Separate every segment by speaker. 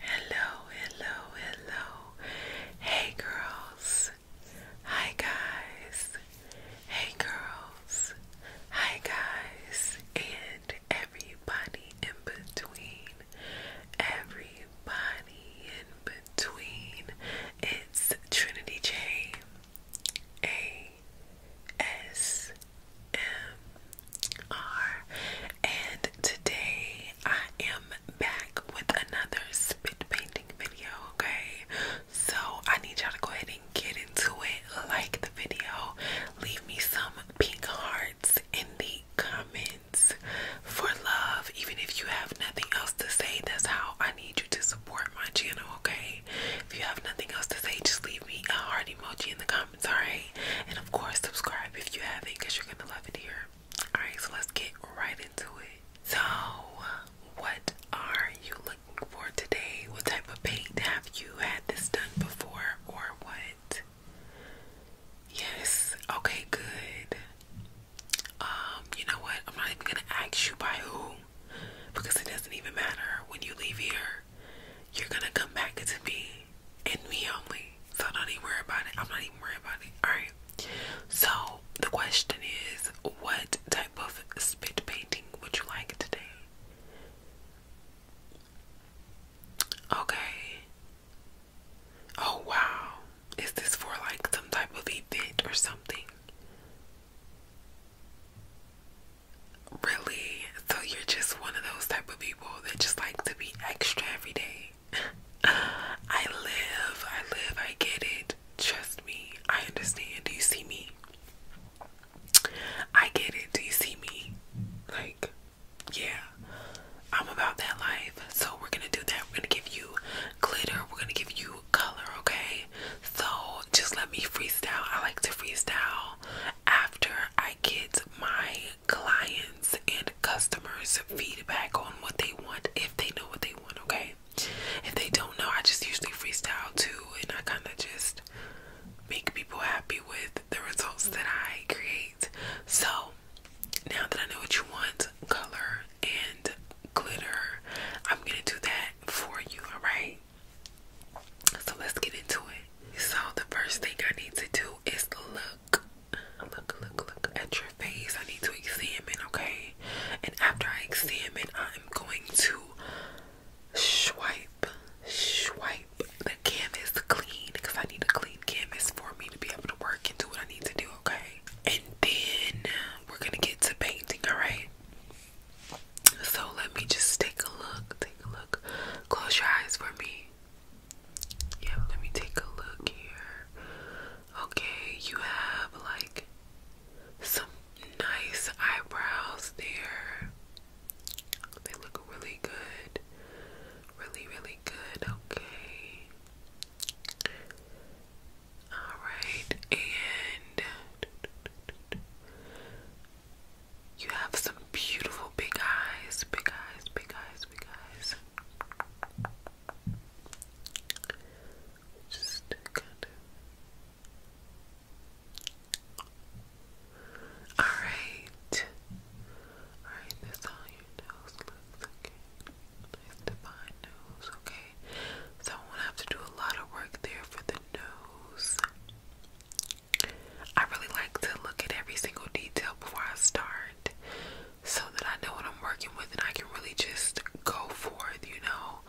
Speaker 1: Hello, hello, hello. Hey girls. Hi guys. Hey girls. Hi guys. And everybody in between. Everybody in between. It's Trinity J. A S M R, and today I am back with another spit painting video. Okay, so I need y'all to go ahead and get into it, like the video, leave me some pink hearts in the comments for love, even if you have nothing else to say. That's how I need you to support my channel. Okay, if you have nothing else to say, just leave me a heart emoji in the comments alright? And of course, subscribe if you haven't you're gonna love it here. Alright, so let's get right into it. So, what are you looking for today? What type of paint have you had this done before or what? Yes, okay, good. Um, you know what? I'm not even gonna ask you by who because it doesn't even matter when you leave here you're gonna come back to me and me only. So don't even worry about it. I'm not even worried about it. Alright. So the question is what type of spit painting would you like today? Okay. Oh wow. Is this for like some type of event or something? really so you're just one of those type of people that just like to be extra every day i live i live i get it trust me i understand do you see me i get it do you see me like yeah i'm about that life so we're gonna do that we're gonna give you glitter we're gonna give you color okay so just let me freestyle i like to freestyle after I get my clients and customers feedback on what they want, if they know what they want, okay? If they don't know, I just usually freestyle too, and I kind of just make people happy with the results that I create. So now that I know what you want, color and glitter, I'm gonna do that for you, all right? So let's get into it. So the first thing I need to do is look, look, look, look at your face. I need to examine, okay? And after I examine, I'm going to swipe, swipe the canvas clean because I need a clean canvas for me to be able to work and do what I need to do, okay? And then we're gonna get to painting, alright? So let me just take a look, take a look. Close your eyes for me. Yep, let me take a look here. Okay, you have like some nice eyebrows there. They look really good. Really, really good. Okay. Alright, and you have some beautiful big eyes, big eyes, big eyes, big eyes. Just kind of. Alright. Alright, that's how your nose looks. Okay. Nice defined nose. Okay. So I won't have to do a lot of work there for the nose. I really like to look at every single detail before I start so that I know what I'm working with and I can really just go forth, you know,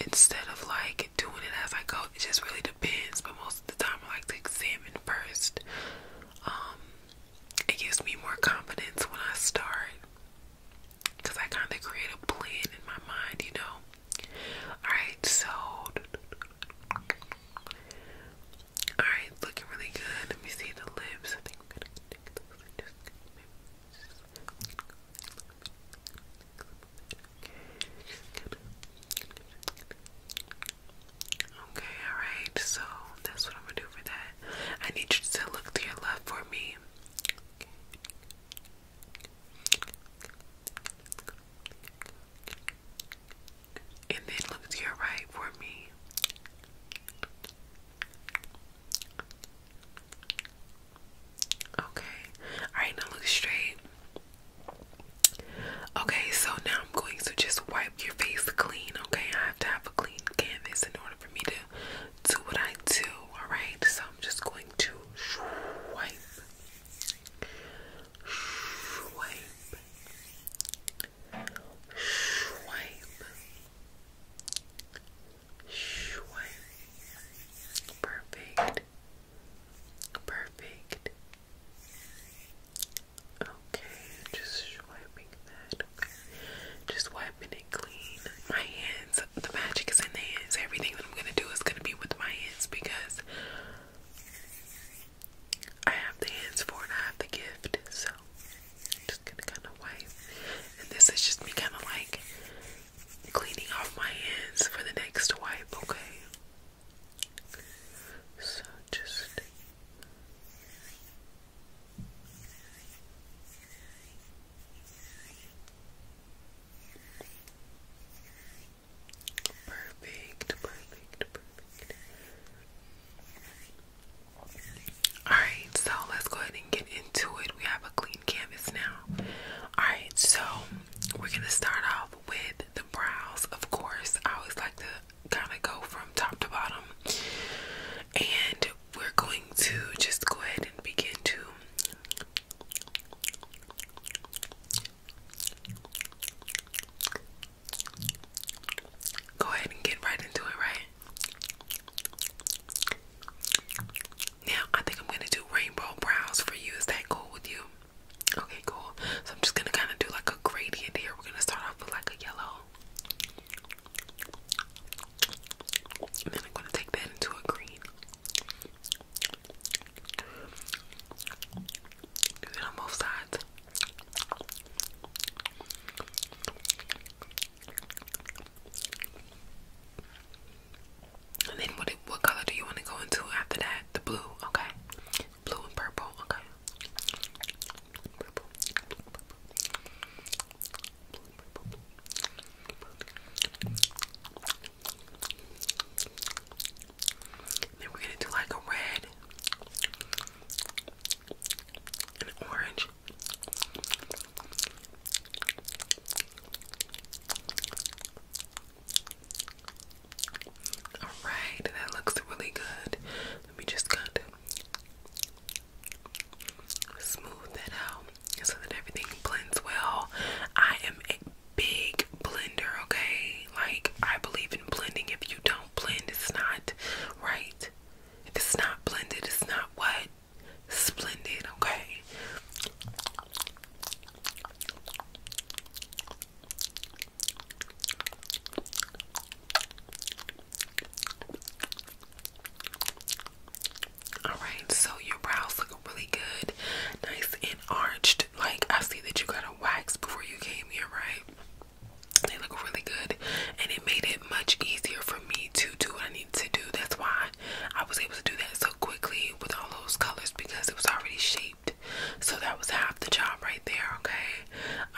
Speaker 1: instead of like doing it as I go. It just really depends, but most of the time I like to examine first. Um, it gives me more confidence when I start because I kind of create a plan in my mind, you know. Alright, so Alright, looking really good. Let me see the lips. I Okay, alright, so that's what I'm gonna do for that. I need you to look to your left for me and then look to your right for me. Okay, alright, now look straight. Okay, so now I'm going to just wipe your face clean. Okay, I have to have a clean canvas in order for me to do what I do. Alright, so I'm just going to wipe, wipe, Swipe. Swipe. Perfect. Perfect. Okay, just swiping that. Just wiping it clean. My hands, the magic is in hands. Everything that I'm gonna do is gonna be with my hands because I have the hands for it, I have the gift, so just gonna kind of wipe. And this is just me kind of like cleaning off my hands for the next wipe, okay? So just. Perfect, perfect, perfect. Alright, so let's go ahead and get into it. We have a clean canvas now. Alright, so we're going to start off with the brows. Of course, I always like to kind of go from top to bottom. And we're going to just go ahead and begin to Go ahead and get right into it, right? Now, I think I'm gonna do rainbow brows for you. Is that cool with you? Okay, cool. So I'm just gonna kind of do like a gradient here. We're gonna start off with like a yellow. And then I'm gonna take that into a green. Do it on both sides then what what color do you want to go into after that? The blue, okay. Blue and purple, okay. Then we're gonna do like a red, an orange, all right, that looks really good. Let me just kind of smooth that out so that everything blends well. I am a big blender, okay? Like, I believe in blending. If you don't. Blended, it's not right. If it's not blended, it's not what? Splendid, okay? Alright, so your brows look really good, nice and arched. Like, I see that you got a wax before you came here, right? They look really good, and it made it much easier for me to do what I needed to do. That's why I was able to do that so quickly with all those colors because it was already shaped. So that was half the job right there, okay?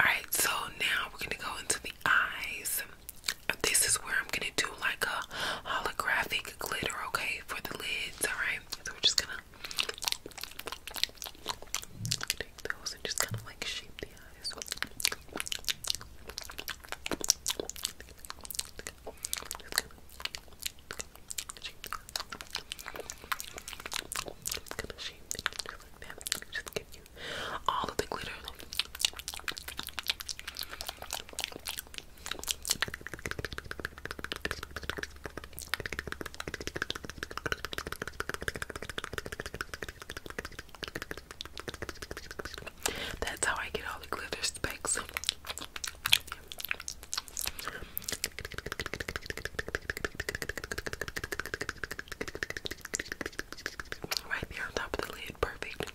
Speaker 1: Alright, so now we're gonna go into the eyes. This is where I'm gonna do like a holographic glitter, okay, for the lids, alright? So we're just gonna Take those and just kind of like shape the eyes. Just gonna shape it just like you all the glitter. That's how I get all the glitter specks. Right there on top of the lid, perfect.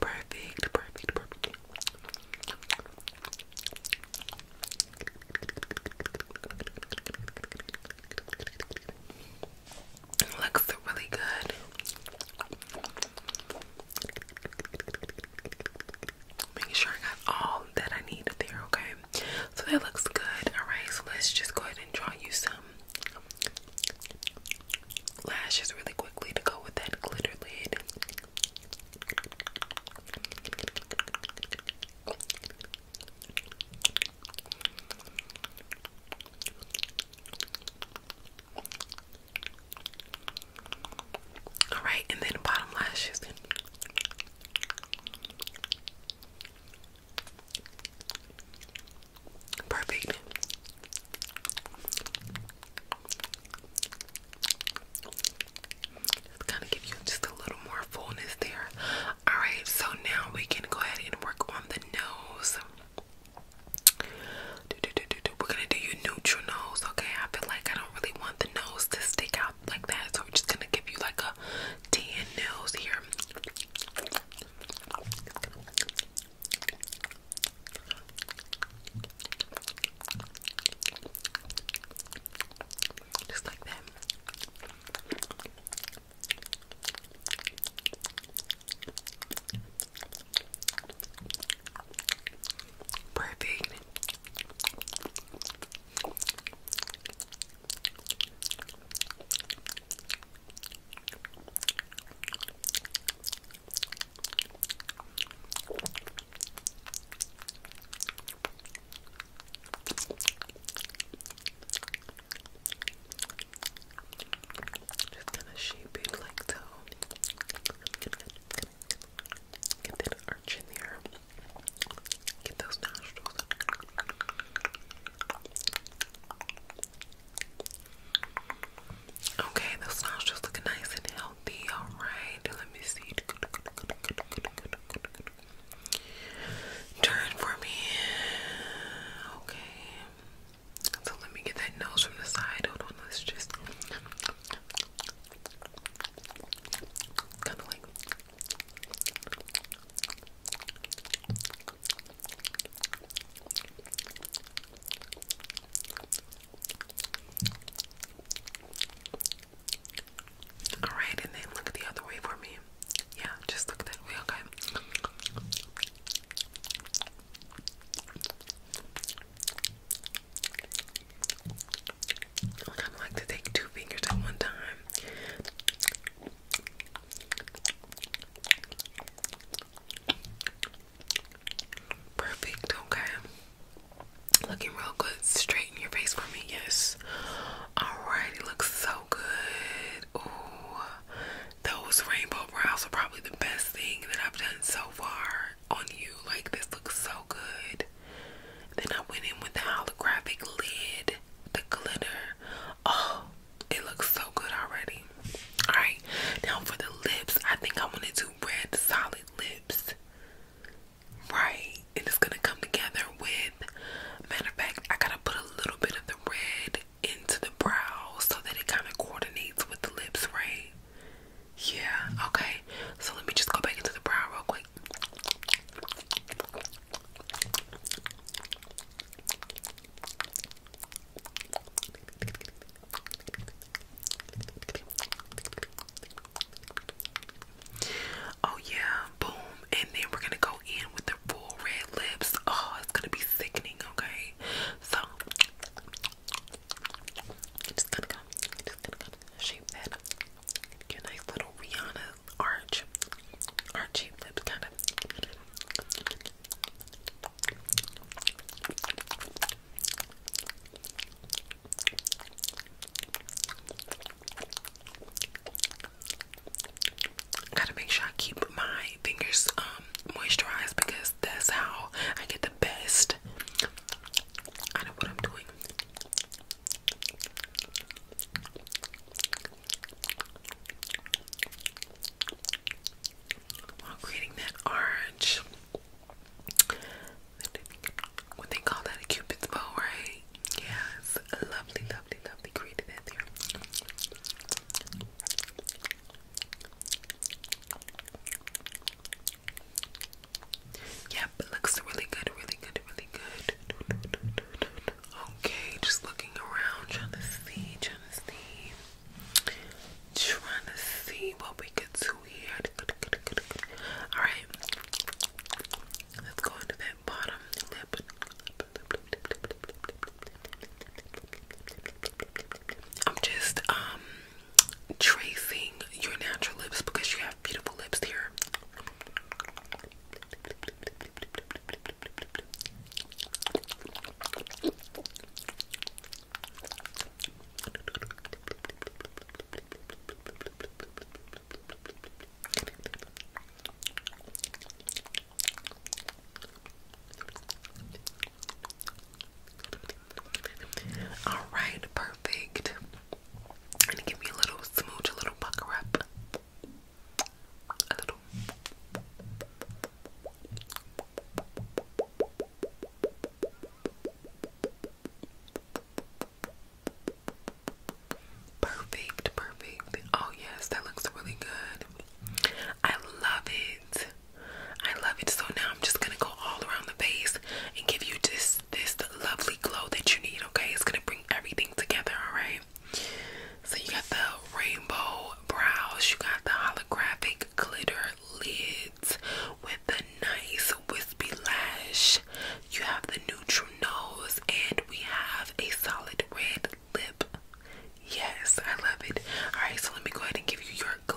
Speaker 1: Perfect, perfect, perfect. Looks really good. Making sure I got all that I need up there, okay? So that looks good. Alright, so let's just go ahead and draw you some lashes really quickly to go with that glitter lid. All right, and then bottom lashes. Perfect. Just kind of give you just a little more fullness there. Alright, so now we can go ahead and work on the nose. We're gonna do your neutral nose, okay? I feel like I don't really want the nose to stick out like that, so we're just gonna give you like a tan nose here. Just like that. Perfect. Just gonna shape it like so. Get that arch in there. Get those nostrils. Okay, the snow's just looking nice and healthy. Alright, let me see. Turn for me. Okay. So let me get that nose from the side. Hold on, just kind of like all right, and then look the other way for me. Yeah, just look that way, okay? I kind of like to take two fingers at one time. Perfect, okay. Looking real good. Straighten your face for me, yes. Alright, it looks so good. Ooh, those rainbow brows are probably the best thing that I've done so far on you. Like, this looks so good. Then I went in with the holographic lid, the glitter. Oh, it looks so good already. Alright, now for the lips, I think I want to do red solid lips. Right, and it's gonna come together with, matter of fact, I gotta put a little bit of the red into the brow so that it kind of coordinates with the lips, right? Yeah, okay, so let me just go back into the brow real quick. Oh yeah, boom. And then we're gonna go in with the full red lips. Oh, it's gonna be sickening, okay? So just gonna just gonna shape that a nice little Rihanna arch, archy lips, kind of. Gotta make sure I keep my fingers um moisturized because that's how I get the best out of what I'm doing while creating that orange. What they call that a cupid's bow, right? Yes, lovely, lovely, lovely. Created that there. Yep, looks really good, really good, really good. Okay, just looking around, trying to see, trying to see. Trying to see what we could do here. Alright. Let's go into that bottom I'm just um tracing your natural lips because you have beautiful lips here. All right, perfect. gonna give me a little smooch, a little pucker up, Perfect, perfect. Oh, yes, that looks really good. I love it. I love it. So now I'm just going to go all around the face and give you just this lovely glow that you need, okay? It's going to bring everything together, all right? So you got the rainbow brows, you got the holographic glitter lid with the nice wispy lash. You have the neutral nose, and we have a solid red lip. Yes, I love it. All right, so let me go ahead and give you your glow.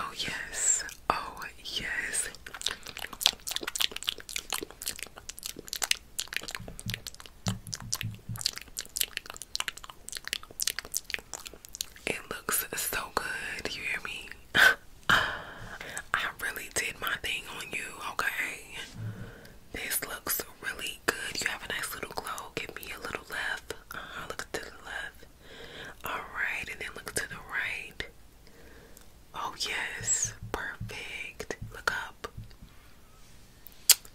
Speaker 1: Oh, yes. Oh, yes. It looks so good, you hear me? I really did my thing on you, okay? This looks really good. You have a nice little glow. Give me a little left. Uh-huh, look to the left. Alright, and then look to the right. Oh, yes. Perfect. Look up.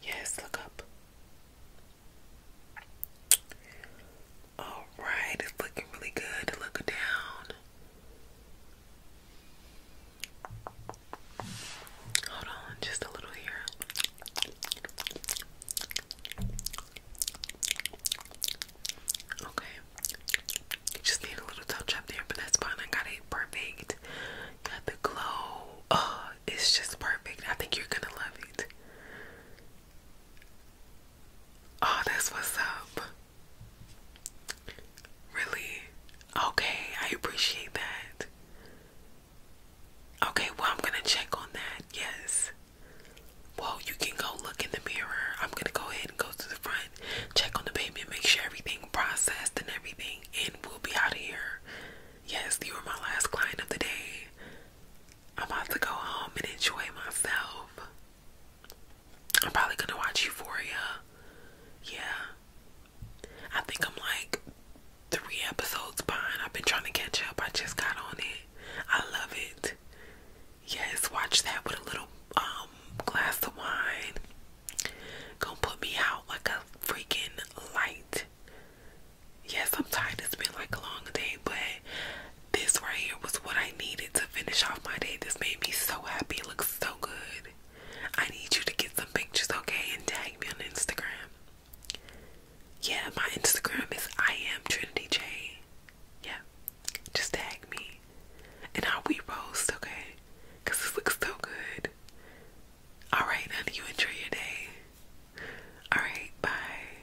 Speaker 1: Yes, look up. All right, it's looking really good. Look down. Hold on, just a little here. Okay. just need a little touch up there, but that's fine. I got it perfect. Got the glow. Oh, it's just perfect. I think you're gonna love it. Oh, that's what's up. Really? Okay, I appreciate that. Okay, well, I'm gonna check on that. Yes. Well, you can go look in the mirror. I'm gonna go ahead and go to the front, check on the baby, make sure everything processed and everything, and we'll be out of here. Yes, you were my last client of the day. I'm about to go home and enjoy myself. I'm probably gonna watch Euphoria. Yeah. I think I'm like three episodes behind. I've been trying to catch up. I just got on it. I love it. Yes, watch that with a little um glass of wine. Gonna put me out like a freaking light. Yes, I'm tired. It's been like a long day, but this right here was what I needed to finish off my day. This made me so happy. It looks so good. I need you to get some pictures, okay? And tag me on Instagram. Yeah, my Instagram is I am Trinity J. Yeah, just tag me. And I'll repost, okay? Because this looks so good. Alright, now you enjoy your day. Alright, bye.